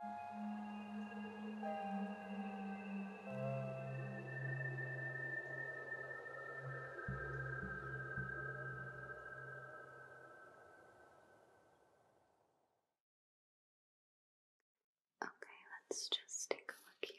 Okay, let's just take a look here.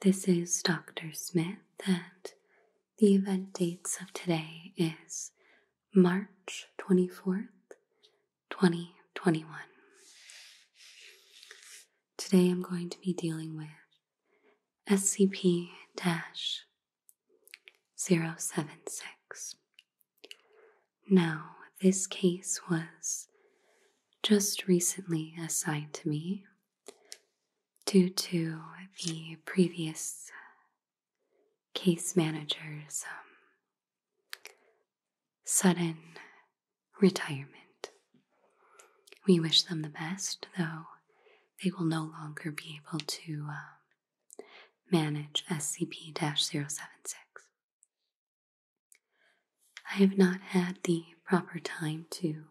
This is Dr. Smith, and the event dates of today is March 24th, 2021. Today I'm going to be dealing with SCP 076. Now, this case was just recently assigned to me due to the previous case manager's um, sudden retirement. We wish them the best, though they will no longer be able to uh, manage SCP 076. I have not had the proper time to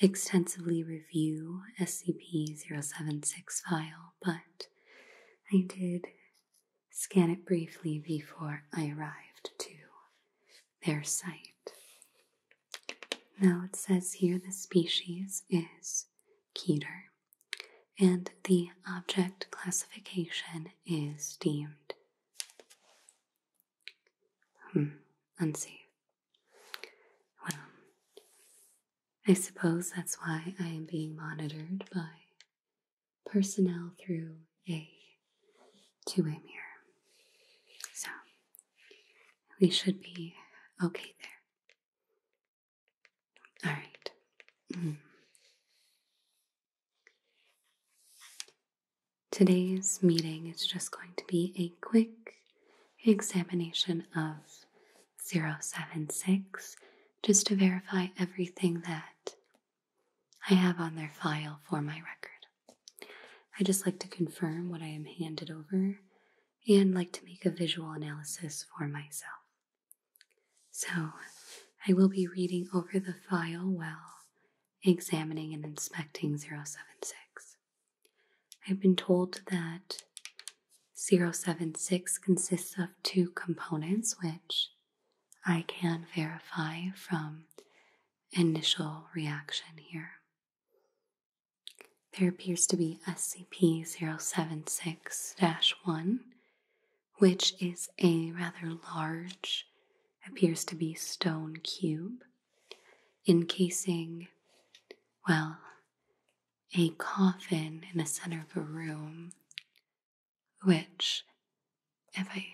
extensively review SCP 076 file, but I did scan it briefly before I arrived to their site. Now it says here the species is Keter, and the object classification is deemed hmm, unsafe. Well, I suppose that's why I am being monitored by personnel through a two way mirror. So, we should be okay there. Alright. Mm. Today's meeting is just going to be a quick examination of 076 just to verify everything that I have on their file for my record. I just like to confirm what I am handed over and like to make a visual analysis for myself. So I will be reading over the file while examining and inspecting 076. I've been told that 076 consists of two components, which I can verify from initial reaction here. There appears to be SCP 076 1, which is a rather large, appears to be stone cube encasing, well, a coffin in the center of a room, which, if I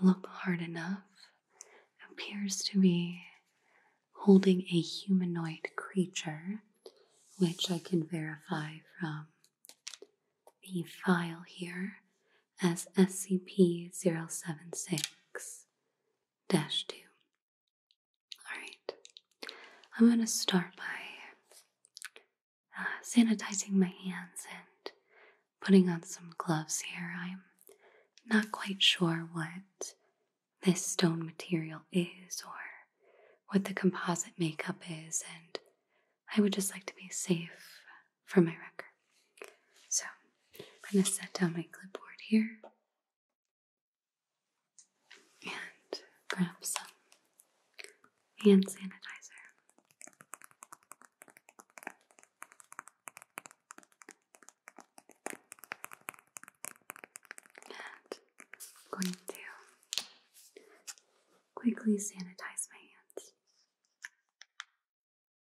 look hard enough, appears to be holding a humanoid creature, which I can verify from the file here as SCP 076 2. All right, I'm going to start by uh, sanitizing my hands and putting on some gloves here. I'm not quite sure what this stone material is or what the composite makeup is, and I would just like to be safe for my record. So I'm going to set down my clipboard here and grab some hand sanitizer. And going to quickly sanitize my hands.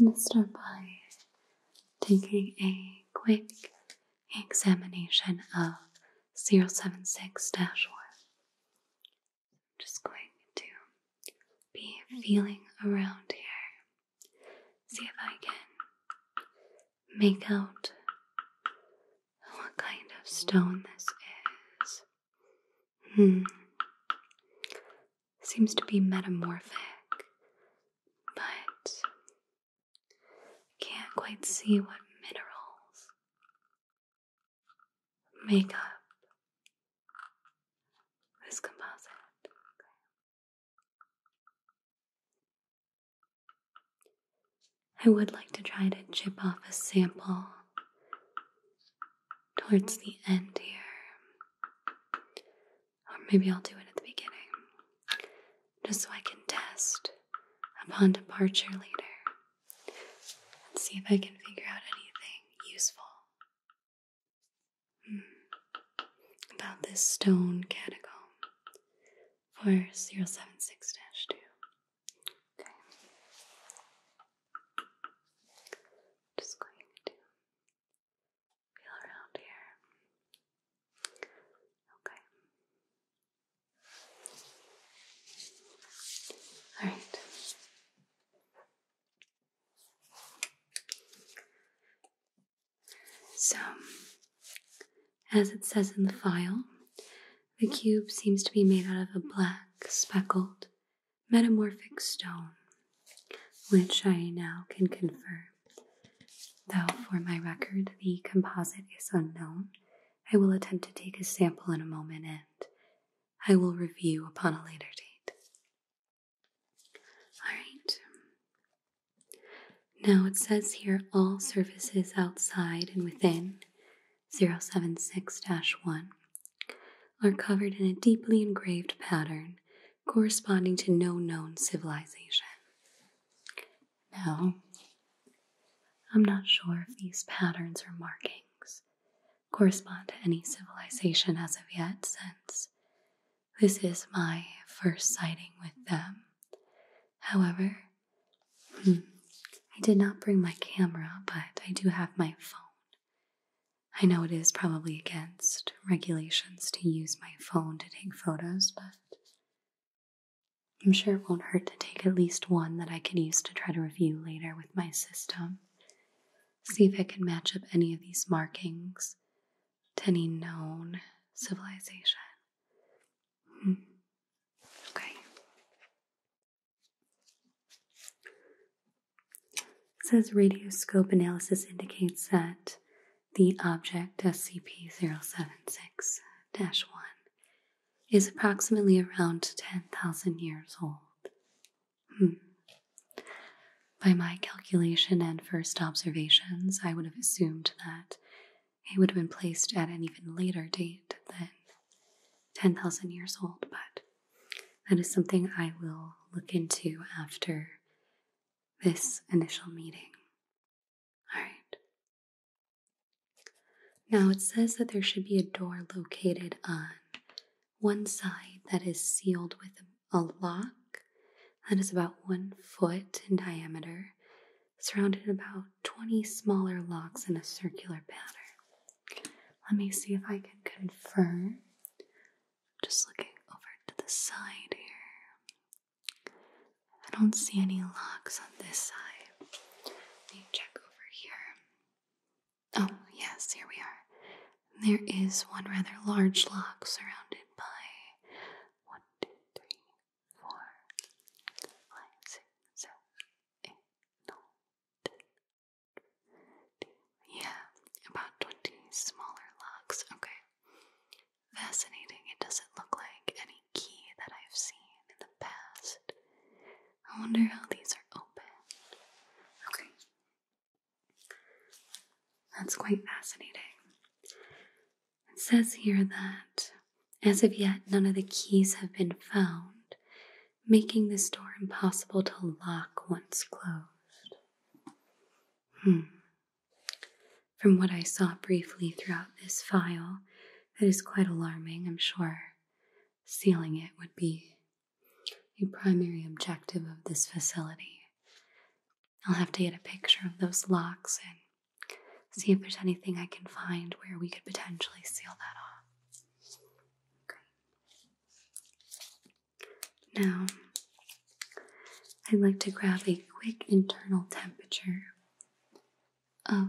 I'm going to start by taking a quick examination of 076 1 just going to be feeling around here. See if I can make out what kind of stone this is. Hmm. Seems to be metamorphic, but can't quite see what minerals make up this composite. I would like to try to chip off a sample towards the end here. Or maybe I'll do it at the beginning. Just so I can test upon departure later and see if I can figure out anything useful hmm. about this stone catacomb for 076 2. Just going to feel around here. Okay. Alright. So, as it says in the file, the cube seems to be made out of a black, speckled, metamorphic stone, which I now can confirm. Though, for my record, the composite is unknown, I will attempt to take a sample in a moment and I will review upon a later date. Alright. Now it says here all surfaces outside and within 076 1 are covered in a deeply engraved pattern corresponding to no known civilization. Now, I'm not sure if these patterns are markings correspond to any civilization as of yet, since this is my first sighting with them. However, hmm, I did not bring my camera, but I do have my phone. I know it is probably against regulations to use my phone to take photos, but I'm sure it won't hurt to take at least one that I can use to try to review later with my system. See if I can match up any of these markings to any known civilization. Hmm. Okay. It says radioscope analysis indicates that the object SCP 076 1 is approximately around 10,000 years old. Hmm. By my calculation and first observations, I would have assumed that it would have been placed at an even later date than 10,000 years old, but that is something I will look into after this initial meeting. Alright. Now it says that there should be a door located on one side that is sealed with a lock that is about one foot in diameter, surrounded about 20 smaller locks in a circular pattern. Let me see if I can confirm. Just looking over to the side here. I don't see any locks on this side. Let me check over here. Oh, yes, here we are. There is one rather large lock surrounded by one, two, three, four, five, six, seven, eight, nine, ten. yeah, about 20 smaller locks. Okay. Fascinating. It doesn't look like any key that I've seen in the past. I wonder how these are open. Okay, that's quite fascinating. It says here that as of yet, none of the keys have been found, making this door impossible to lock once closed. Hmm. From what I saw briefly throughout this file, that is quite alarming, I'm sure sealing it would be a primary objective of this facility. I'll have to get a picture of those locks and see if there's anything I can find where we could potentially seal that off. Now, I'd like to grab a quick internal temperature of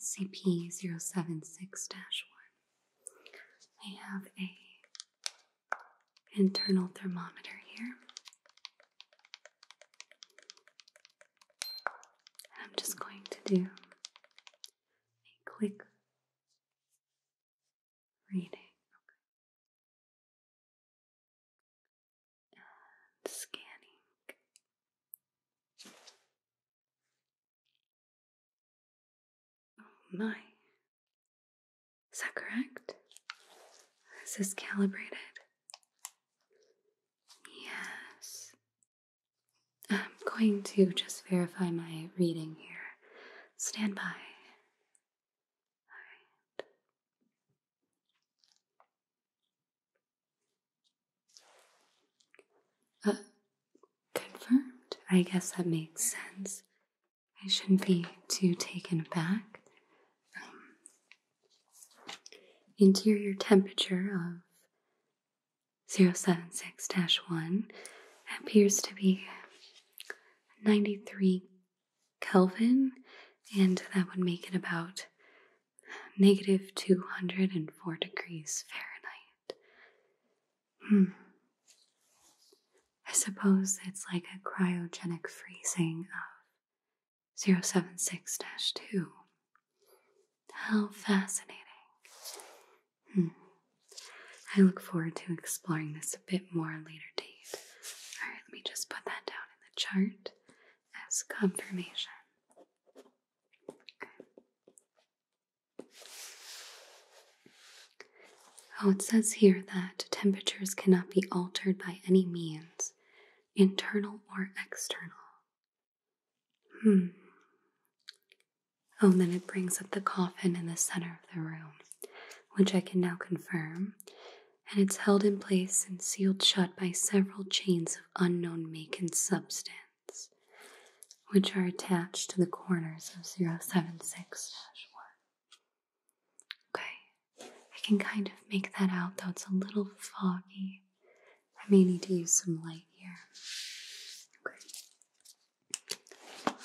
SCP 076 1. I have a internal thermometer here. I'm just going to do a quick reading. scanning. Oh my. Is that correct? Is this calibrated? Yes. I'm going to just verify my reading here. Stand by. Confirmed. I guess that makes sense. I shouldn't be too taken aback. Um, interior temperature of 076 1 appears to be 93 Kelvin, and that would make it about negative 204 degrees Fahrenheit. Hmm. I suppose it's like a cryogenic freezing of 076 2. How fascinating. Hmm. I look forward to exploring this a bit more later date. Alright, let me just put that down in the chart as confirmation. Oh, it says here that temperatures cannot be altered by any means, internal or external. Hmm. Oh, then it brings up the coffin in the center of the room, which I can now confirm, and it's held in place and sealed shut by several chains of unknown make and substance which are attached to the corners of 076 1. Okay, I can kind of make that out though it's a little foggy. I may need to use some light here. Okay,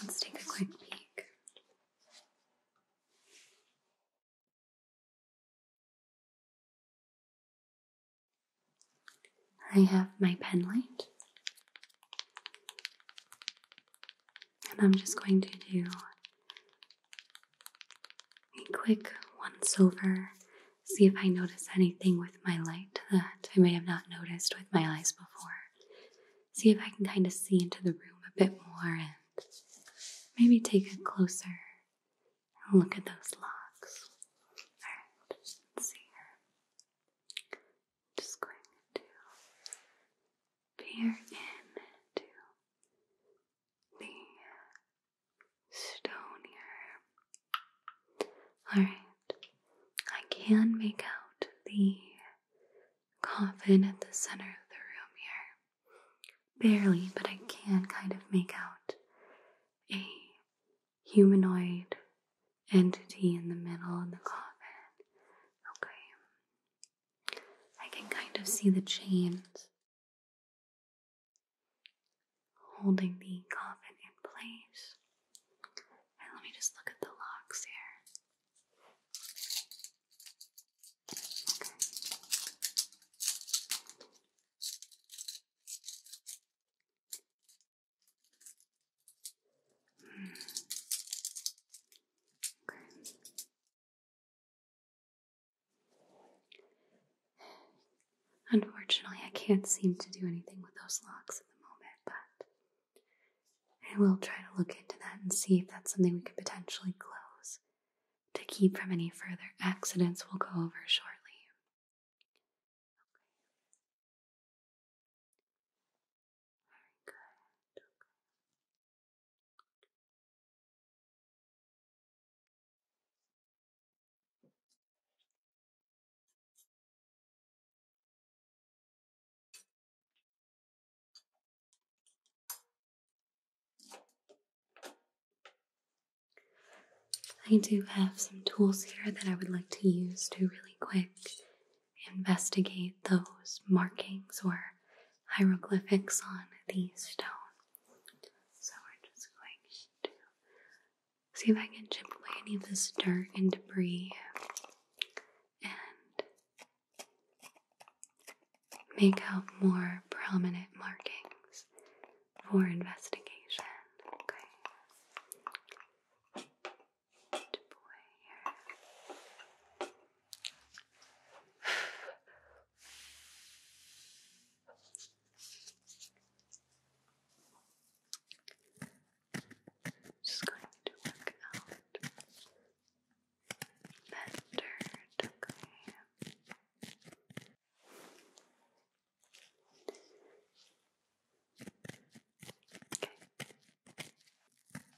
let's take a quick peek. I have my pen light. And I'm just going to do a quick once over, see if I notice anything with my light that I may have not noticed with my eyes before. See if I can kind of see into the room a bit more and maybe take a closer look at those locks. Alright, let's see here just going to peer into the stone here. Alright, I can make out the coffin at the center of the room here. Barely, but I can kind of make out a humanoid entity in the middle of the coffin. Okay. I can kind of see the chains holding the coffin in place. let me just look at the locks here. Unfortunately, I can't seem to do anything with those locks at the moment, but I will try to look into that and see if that's something we could potentially close to keep from any further accidents we'll go over shortly. I do have some tools here that I would like to use to really quick investigate those markings or hieroglyphics on these stones. So we're just going to see if I can chip away any of this dirt and debris and make out more prominent markings for investigation. Okay. Good boy Just going to work out that Okay.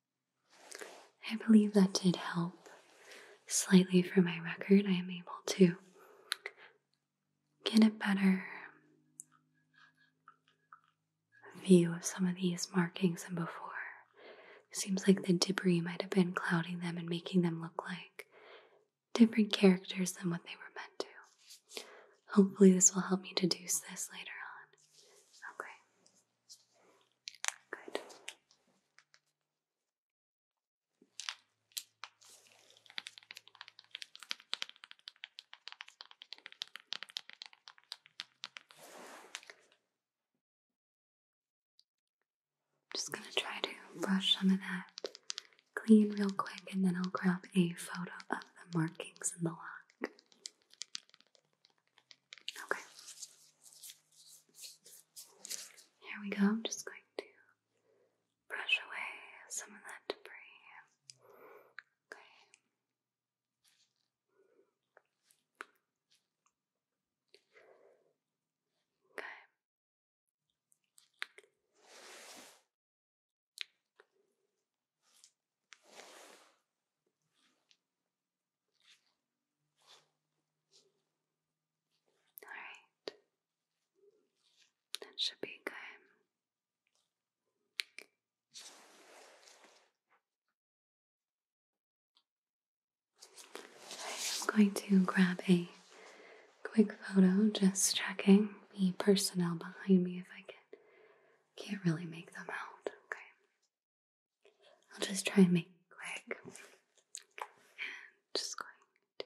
I believe that did help slightly for my record. I am able to get a better view of some of these markings than before. Seems like the debris might have been clouding them and making them look like different characters than what they were meant to. Hopefully, this will help me deduce this later on. Okay. Good just going to try to brush some of that clean real quick and then I'll grab a photo of the markings in the lock. Okay. Here we go. I'm just going to brush away some of that debris. Okay. Okay. Alright, that should be good. I'm going to grab a quick photo, just checking the personnel behind me if I can. Can't really make them out. Okay. I'll just try and make quick. just going to.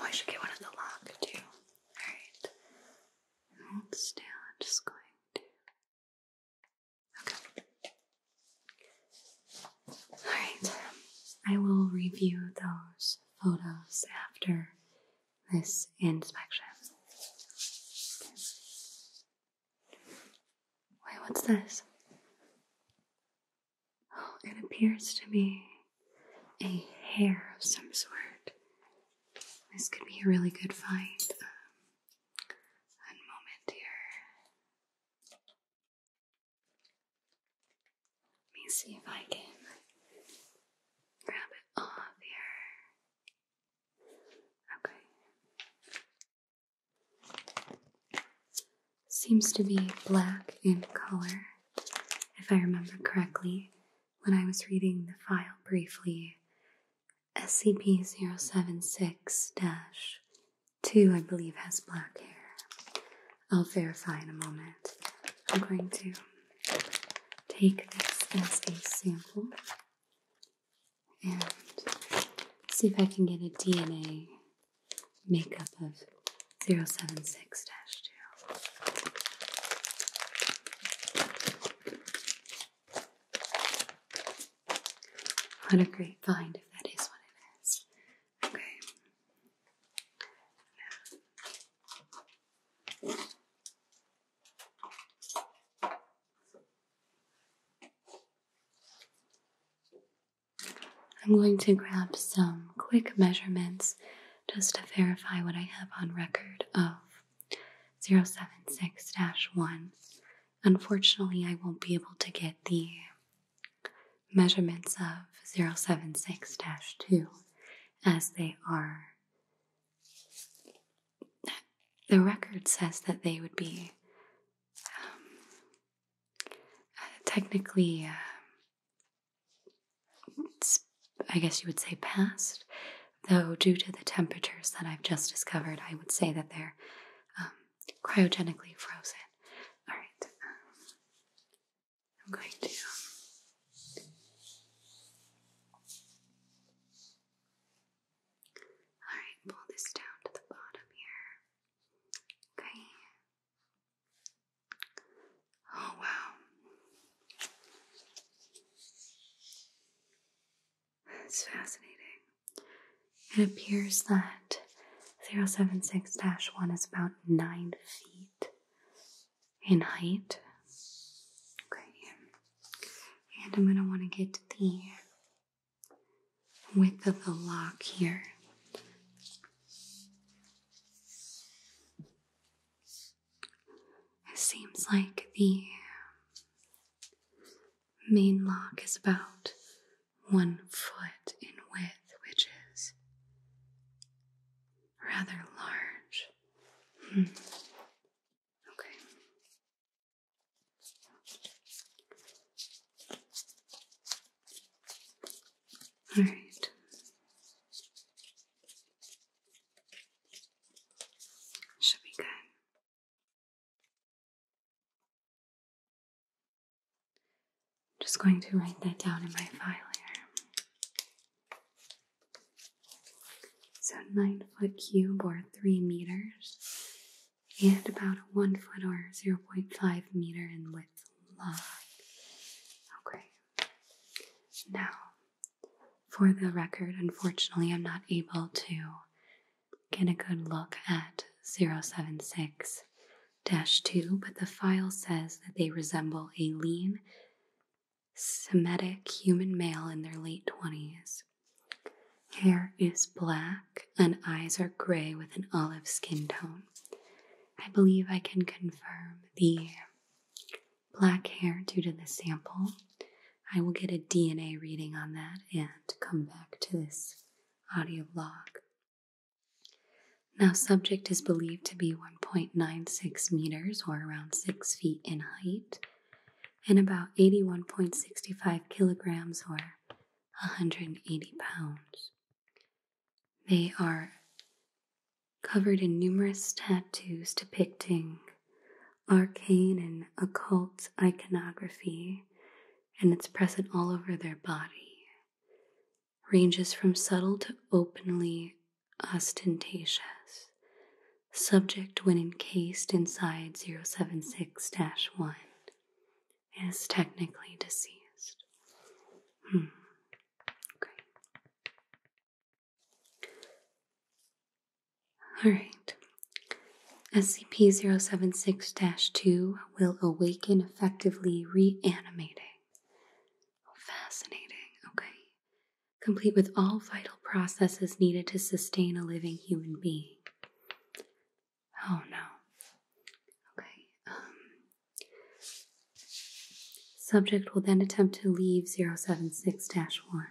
Oh, I should get one of the lock too. Alright. still. just going to. Okay. Alright. I will review those photos after this inspection. Wait, what's this? Oh, it appears to be a hair of some sort. This could be a really good find. Um, moment here. Let me see if I can grab it off here. Okay. Seems to be black in color, if I remember correctly. When I was reading the file briefly, SCP 076 2, I believe, has black hair. I'll verify in a moment. I'm going to take this as a sample and see if I can get a DNA makeup of 076 2. What a great find if that is what it is. Okay. I'm going to grab some quick measurements just to verify what I have on record of 076 1. Unfortunately, I won't be able to get the measurements of 076 2 as they are the record says that they would be um, technically, uh, I guess you would say past, though due to the temperatures that I've just discovered, I would say that they're um, cryogenically frozen. All right, I'm going to um, Alright, pull this down to the bottom here. Okay. Oh, wow. That's fascinating. It appears that 076 1 is about 9 feet in height. Okay, and I'm going to want to get the width of the lock here. It seems like the main lock is about one foot in width, which is rather large. Hmm. Okay. All right. Should be good. just going to write that down in my file here. So nine foot cube or three meters, and about one foot or 0.5 meter in width long. Okay. Now, for the record, unfortunately, I'm not able to get a good look at 076 2, but the file says that they resemble a lean Semitic human male in their late 20s. Hair is black and eyes are gray with an olive skin tone. I believe I can confirm the black hair due to the sample. I will get a DNA reading on that and come back to this audio log. Now, subject is believed to be 1.96 meters or around 6 feet in height and about 81.65 kilograms or a 180 pounds. They are covered in numerous tattoos depicting arcane and occult iconography, and it's present all over their body. Ranges from subtle to openly ostentatious, subject when encased inside 076 1 is technically deceased. Hmm. Okay. All right. SCP 076 2 will awaken, effectively reanimating. Fascinating. Okay complete with all vital processes needed to sustain a living human being. Oh no. Okay. Um, subject will then attempt to leave 076 1.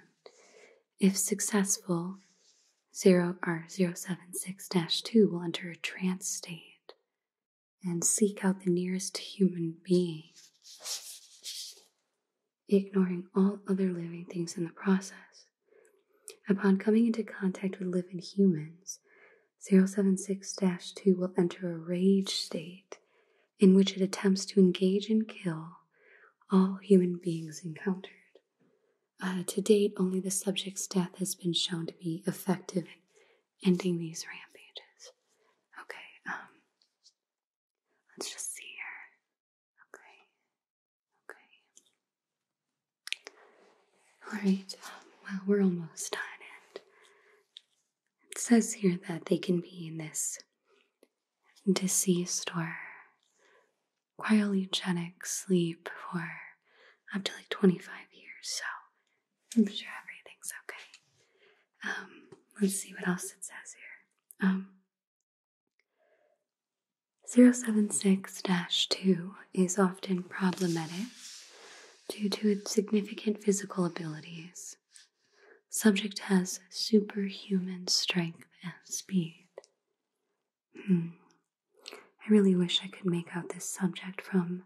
If successful, 0 or 076 2 will enter a trance state and seek out the nearest human being ignoring all other living things in the process. Upon coming into contact with living humans, 076 2 will enter a rage state in which it attempts to engage and kill all human beings encountered. Uh, to date, only the subject's death has been shown to be effective in ending these rampages. Okay, um, let's just see here. Okay. Okay. All right. Um, well, we're almost done, it says here that they can be in this deceased or cryogenic sleep for up to like 25 years, so I'm sure everything's okay. Um, let's see what else it says here. Um, 076-2 is often problematic due to its significant physical abilities. Subject has superhuman strength and speed. Hmm. I really wish I could make out this subject from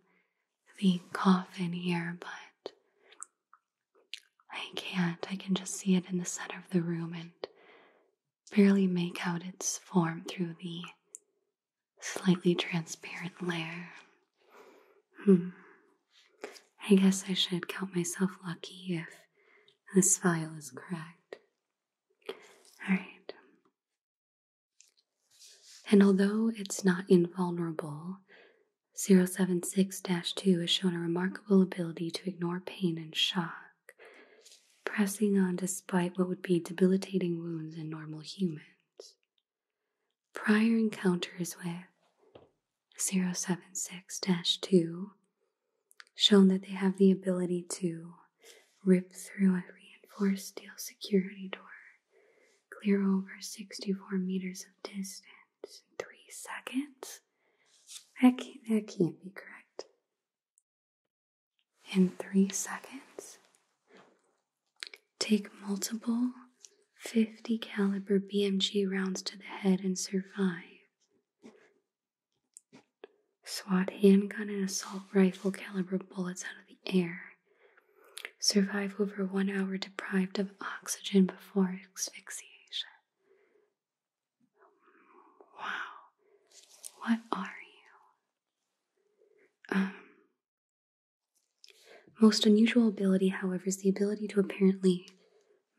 the coffin here, but I can't. I can just see it in the center of the room and barely make out its form through the slightly transparent layer. Hmm. I guess I should count myself lucky if this file is correct. Alright. And although it's not invulnerable, 076 2 is shown a remarkable ability to ignore pain and shock, pressing on despite what would be debilitating wounds in normal humans. Prior encounters with 076 2 shown that they have the ability to rip through a reinforced steel security door, clear over 64 meters of distance in three seconds I can't, that can't be correct. In three seconds, take multiple 50 caliber BMG rounds to the head and survive. Swat handgun and assault rifle caliber bullets out of the air. Survive over one hour deprived of oxygen before asphyxiation. Wow. What are you? Um. Most unusual ability, however, is the ability to apparently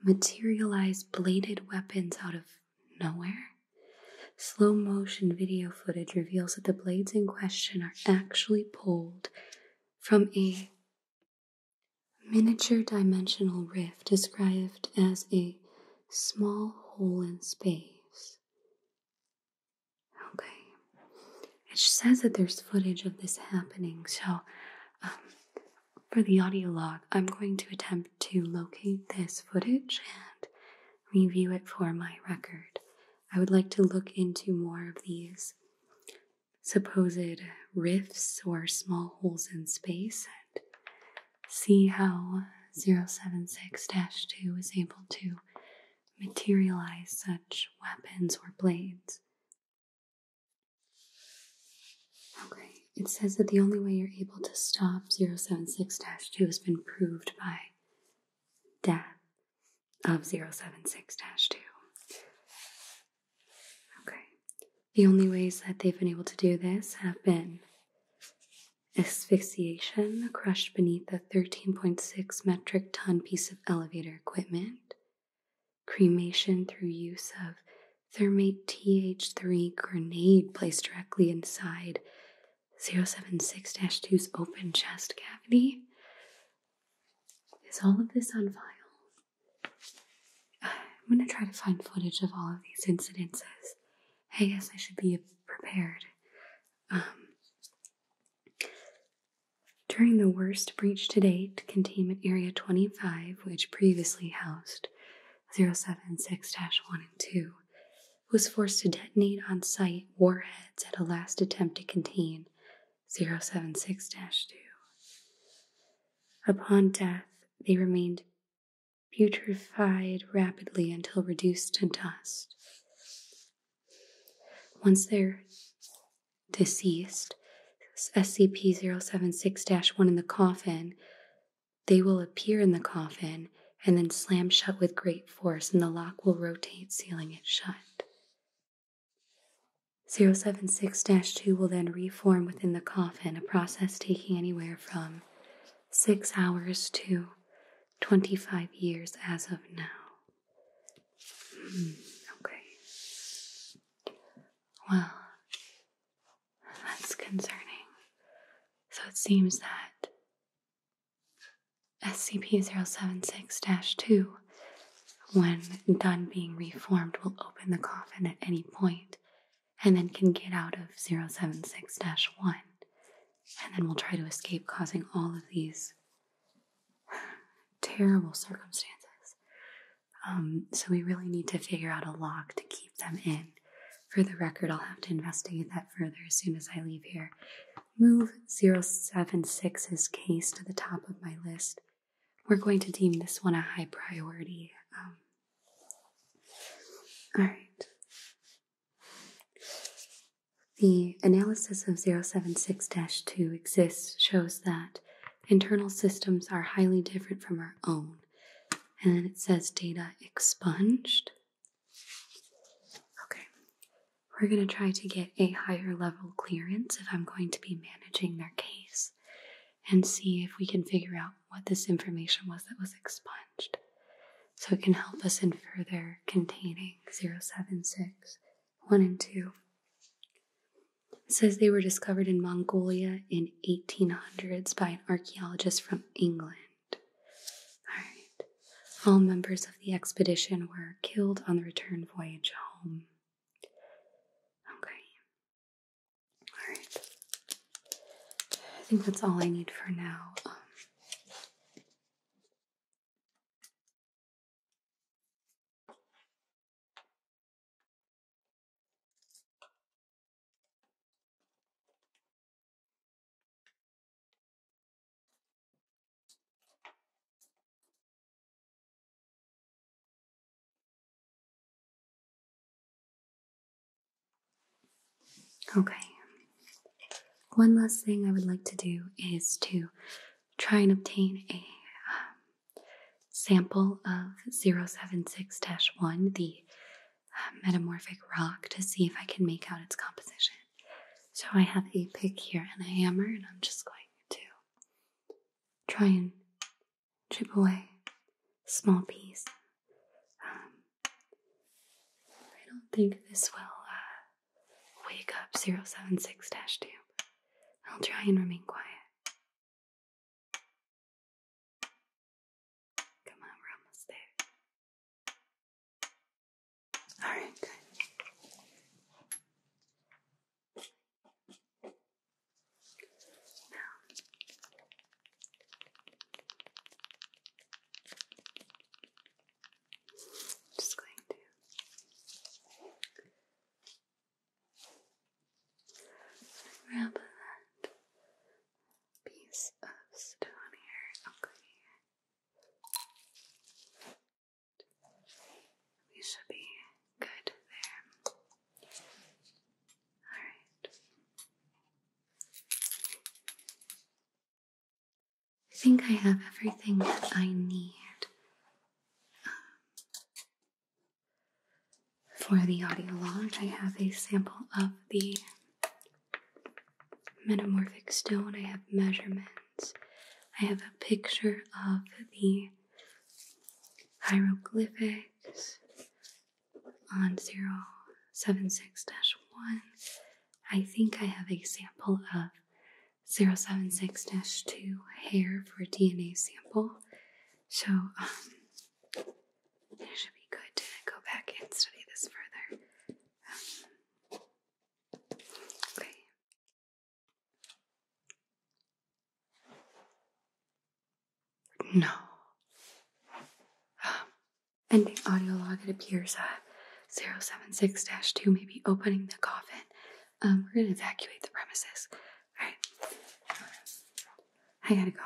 materialize bladed weapons out of nowhere. Slow motion video footage reveals that the blades in question are actually pulled from a miniature dimensional rift described as a small hole in space. Okay. It says that there's footage of this happening, so um, for the audio log, I'm going to attempt to locate this footage and review it for my record. I would like to look into more of these supposed rifts or small holes in space see how 076 2 is able to materialize such weapons or blades. Okay, it says that the only way you're able to stop 076 2 has been proved by death of 076 2. Okay. The only ways that they've been able to do this have been asphyxiation, crushed beneath a 13.6 metric ton piece of elevator equipment, cremation through use of thermite TH3 grenade placed directly inside 076 2's open chest cavity. Is all of this on file? I'm gonna try to find footage of all of these incidences. I guess I should be prepared. Um, during the worst breach to date, Containment Area 25, which previously housed 076 1 and 2, was forced to detonate on site warheads at a last attempt to contain 076 2. Upon death, they remained putrefied rapidly until reduced to dust. Once they're deceased, SCP 076 1 in the coffin, they will appear in the coffin and then slam shut with great force, and the lock will rotate, sealing it shut. 076 2 will then reform within the coffin, a process taking anywhere from six hours to 25 years as of now. Hmm, okay. Well, that's concerning. So it seems that SCP 076 2, when done being reformed, will open the coffin at any point and then can get out of 076 1. And then we'll try to escape causing all of these terrible circumstances. Um, so we really need to figure out a lock to keep them in. For the record, I'll have to investigate that further as soon as I leave here. Move 076's case to the top of my list. We're going to deem this one a high priority. Um, all right. The analysis of 076-2 exists shows that internal systems are highly different from our own. And then it says data expunged. Okay. We're going to try to get a higher level clearance if I'm going to be managing their case and see if we can figure out what this information was that was expunged. So it can help us in further containing 076, and 2. says they were discovered in Mongolia in 1800s by an archaeologist from England. All right. All members of the expedition were killed on the return voyage home. Okay. All right. I think that's all I need for now. Okay. One last thing I would like to do is to try and obtain a um, sample of 076 1, the uh, metamorphic rock, to see if I can make out its composition. So I have a pick here and a hammer, and I'm just going to try and chip away small piece. Um, I don't think this will uh, wake up 076 2. I'll try and remain quiet. Come on, we're almost there. Alright, good. Now, i just going to rub that piece of stone here. Okay. We should be good there. Alright. I think I have everything that I need um, for the audio log. I have a sample of the metamorphic stone, I have measurements, I have a picture of the hieroglyphics, on 076 1, I think I have a sample of 076 2 hair for DNA sample. So, um, it should be good to go back and study this further. Um, okay. No. Um, ending audio log, it appears uh, 076 2 may be opening the coffin. Um, we're gonna evacuate the premises. Alright. I gotta go.